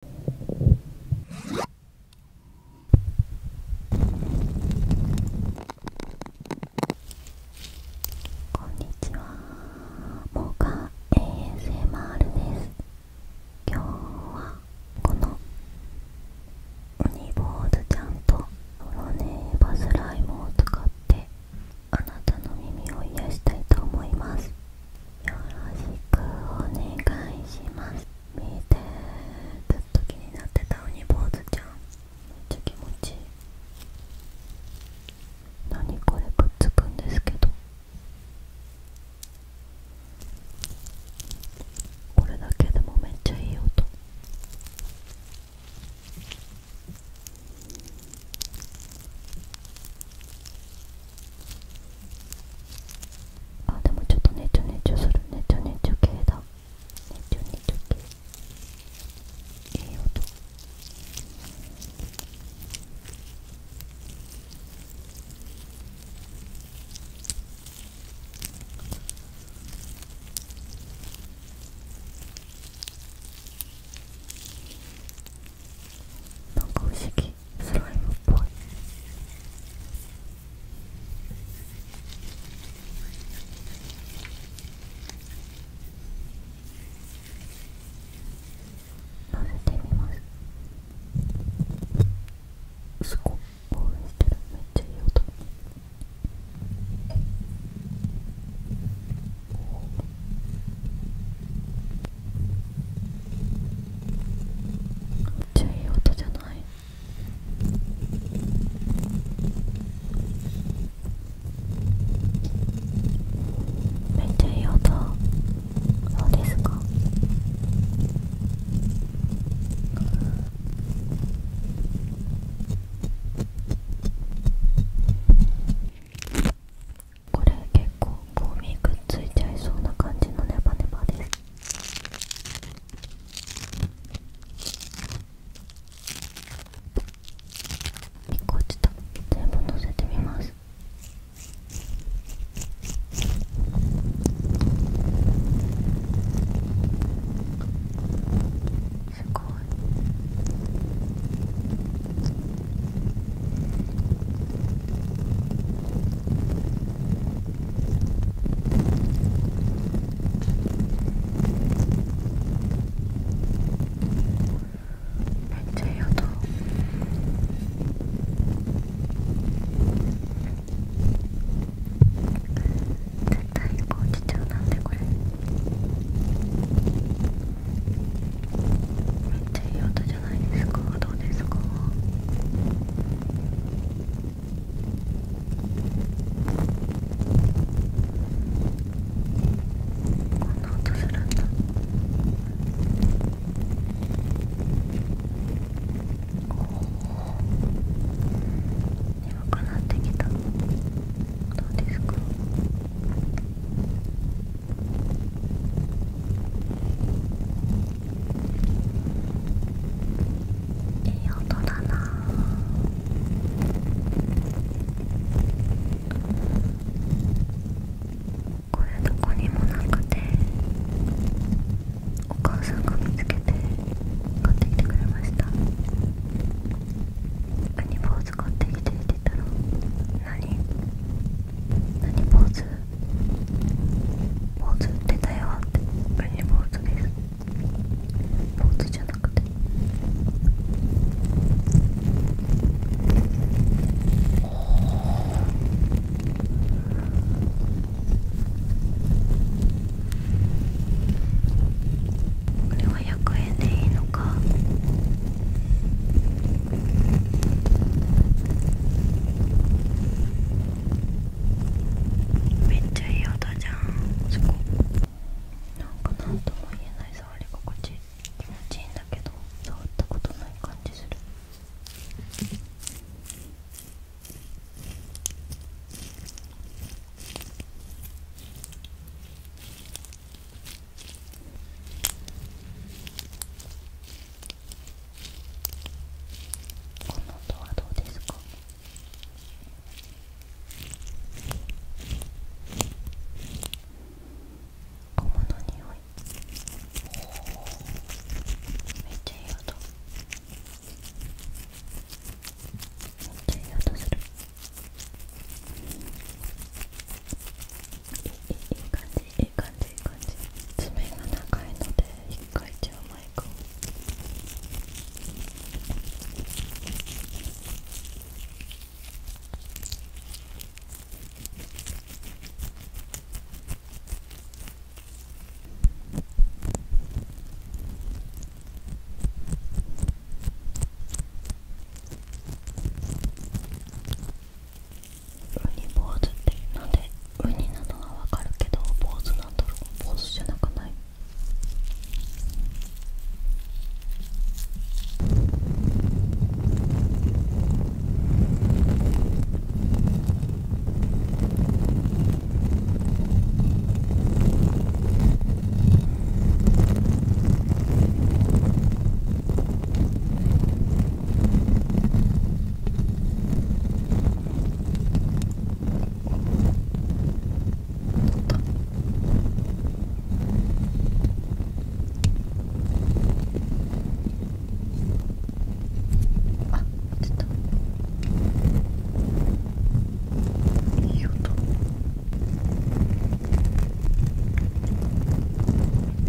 こんにちは、モカ ASMR です。今日はこのウニ坊主ちゃんとロネーバスライムを使ってあなたの耳を癒したいと思います。よろしくお願いします見てずっと気になってた鬼坊主ちゃんめっちゃ気持ちいい何これくっつくんですけどこれだけでもめっちゃいい音あでもちょっとねちょねちょするねちょねちょ系だねちょねちょ系いい音なんか不思議スライムっぽい混ぜてみますすごい応援してるめっちゃいい音めっちゃいい音じゃないめっちゃいい音そうですかこれ結構ゴミくっついちゃいそうな感じのネバネバです1個落ちた全部のせてみますすごいめっちゃいい音絶対こうちなんでこれ。めっちゃいい音じゃないですかどうですかこんな音するんだおお。眠くなってきたどうですかいい音だなこれどこにもなくてお母さんが見つけて買ってきてくれましたーってきてって言ったら何何ポーズポーズってたよってポーズじゃなくてこれは100円でいいのかめっちゃいい音じゃんそこなんか何とも言えない触り心地気持ちいいんだけど触ったことない感じするこの音はどうですかゴムの匂いめっちゃいい音めっちゃいい音するい感じいい感じいい感じ爪が長いので引回かいちゃうマイクウニ坊主ってなんでウニなのはわかるけど坊主なんだろう坊主じゃなくないあ出たいい音。めっ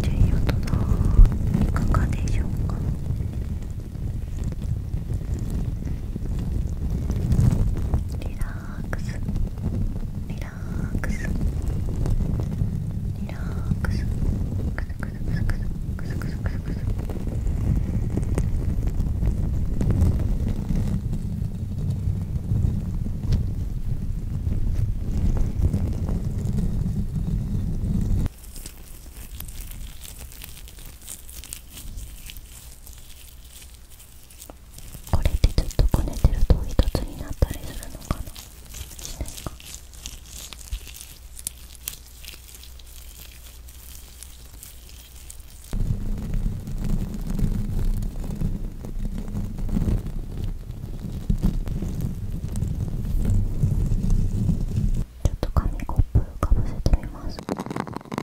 ちゃいい音だいかがでしょうかリラックスリラックスリラックスクスクスクスクスクスクスクスクスこれでずっとこねてると一つになったりするのかなしないかこちょっと紙コップ浮かぶせてみますちょっと大きいかな。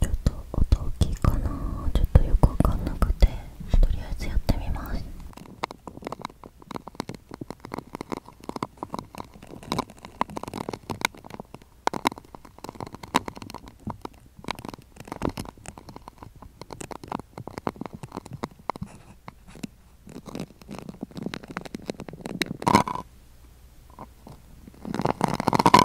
ちょっと音大きいかなちょっとよくわかんなくてとりあえずやってみますあ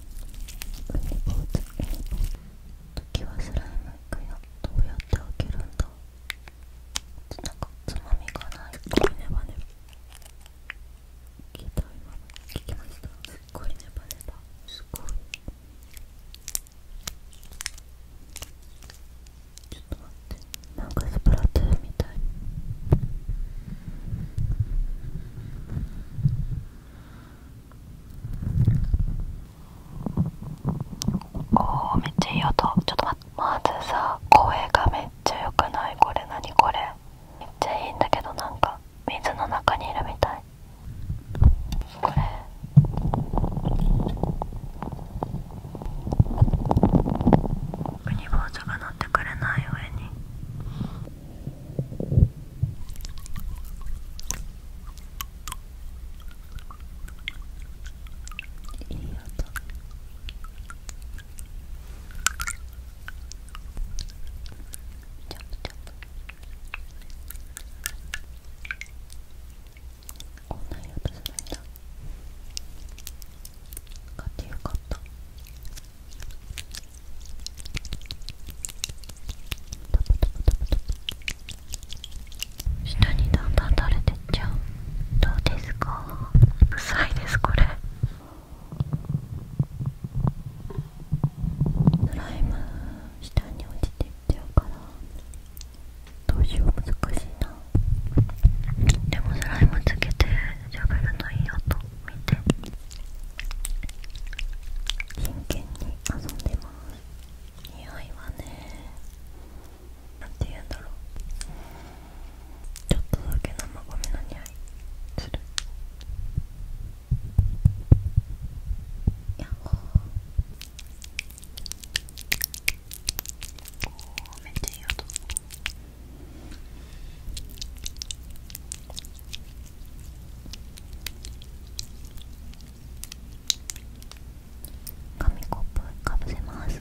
ウニ坊主ウニ坊主時はスライムいくよどうやって開けるんだなんかつまみがないこいネバネバ聞いた今聞きましたすっごいネバネバすごいちょっと待ってなんかスプラトゥーンみたいおーめっちゃいい音ちょっと待ってまずさ声がめっちゃ良くないこれ何これめっちゃいいんだけどなんか水の中にいるみたいこれウニボウズが乗ってくれない上にいい音ちチョプチョプこんな色とするんだ買ってよかった下にだんだん垂れてっちゃうどうですか臭いですこれスライム下に落ちてっちゃうからどうしよう難しいなでもスライムつけて喋らないやと。真剣に遊んでます匂いはねなんて言うんだろうちょっとだけ生米の匂いするやっほーおめっちゃいい音紙コップかぶせます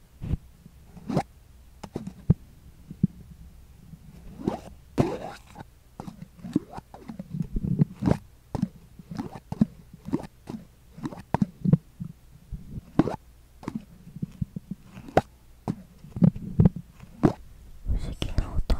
不思議な音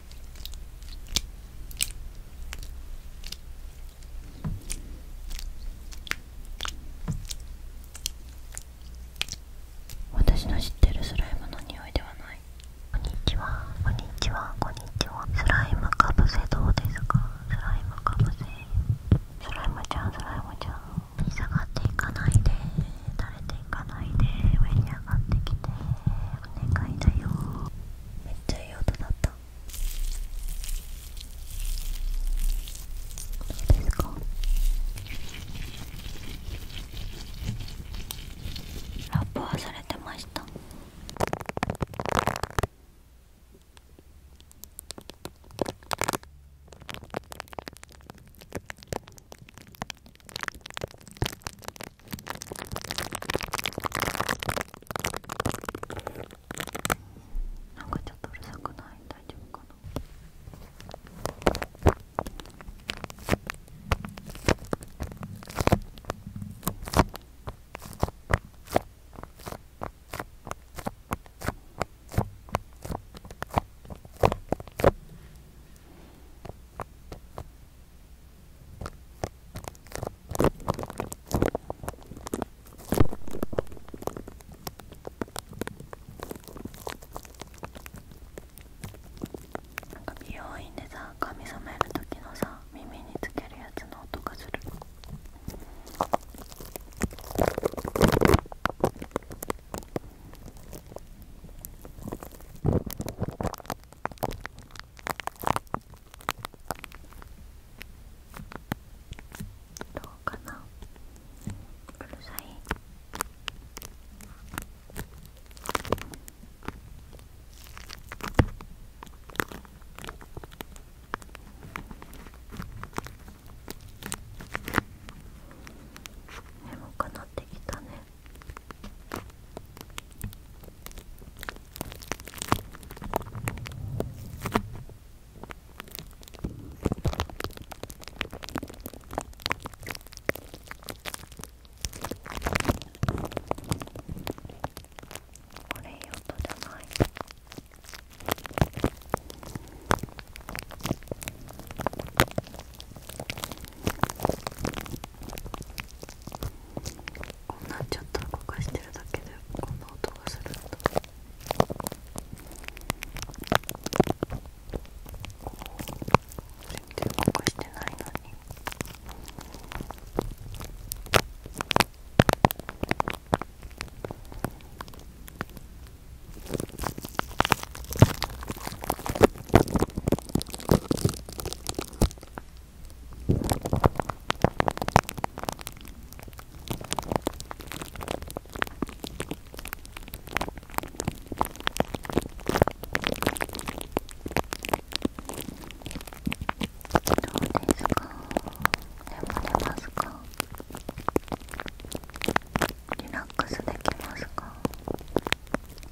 私の知ってるスライムの匂いではないこんにちはこんにちはこんにちはスライムかぶせどうですかスライムかぶせスライムちゃんスライムちゃん下がっていかないで垂れていかないで上に上がってきてお願いだよめっちゃいい音だったどうですかラップはされてましたなんかちょっとうるさくない大丈夫かななんか美容院でさ髪染める時のさ耳につけるやつの音がする。どうかなうるさい眠くなってきたねこれいい音じゃないこんなんちょっと動かしてるだけでこんな音がするんだこ全然動かしてないのにこますかリラックスできますか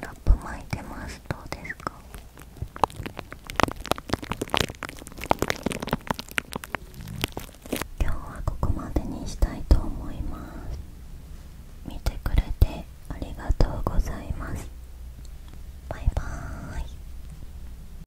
ラップ巻いてますどうですか今日はここまでにしたいと思います見てくれてありがとうございますバイバーイ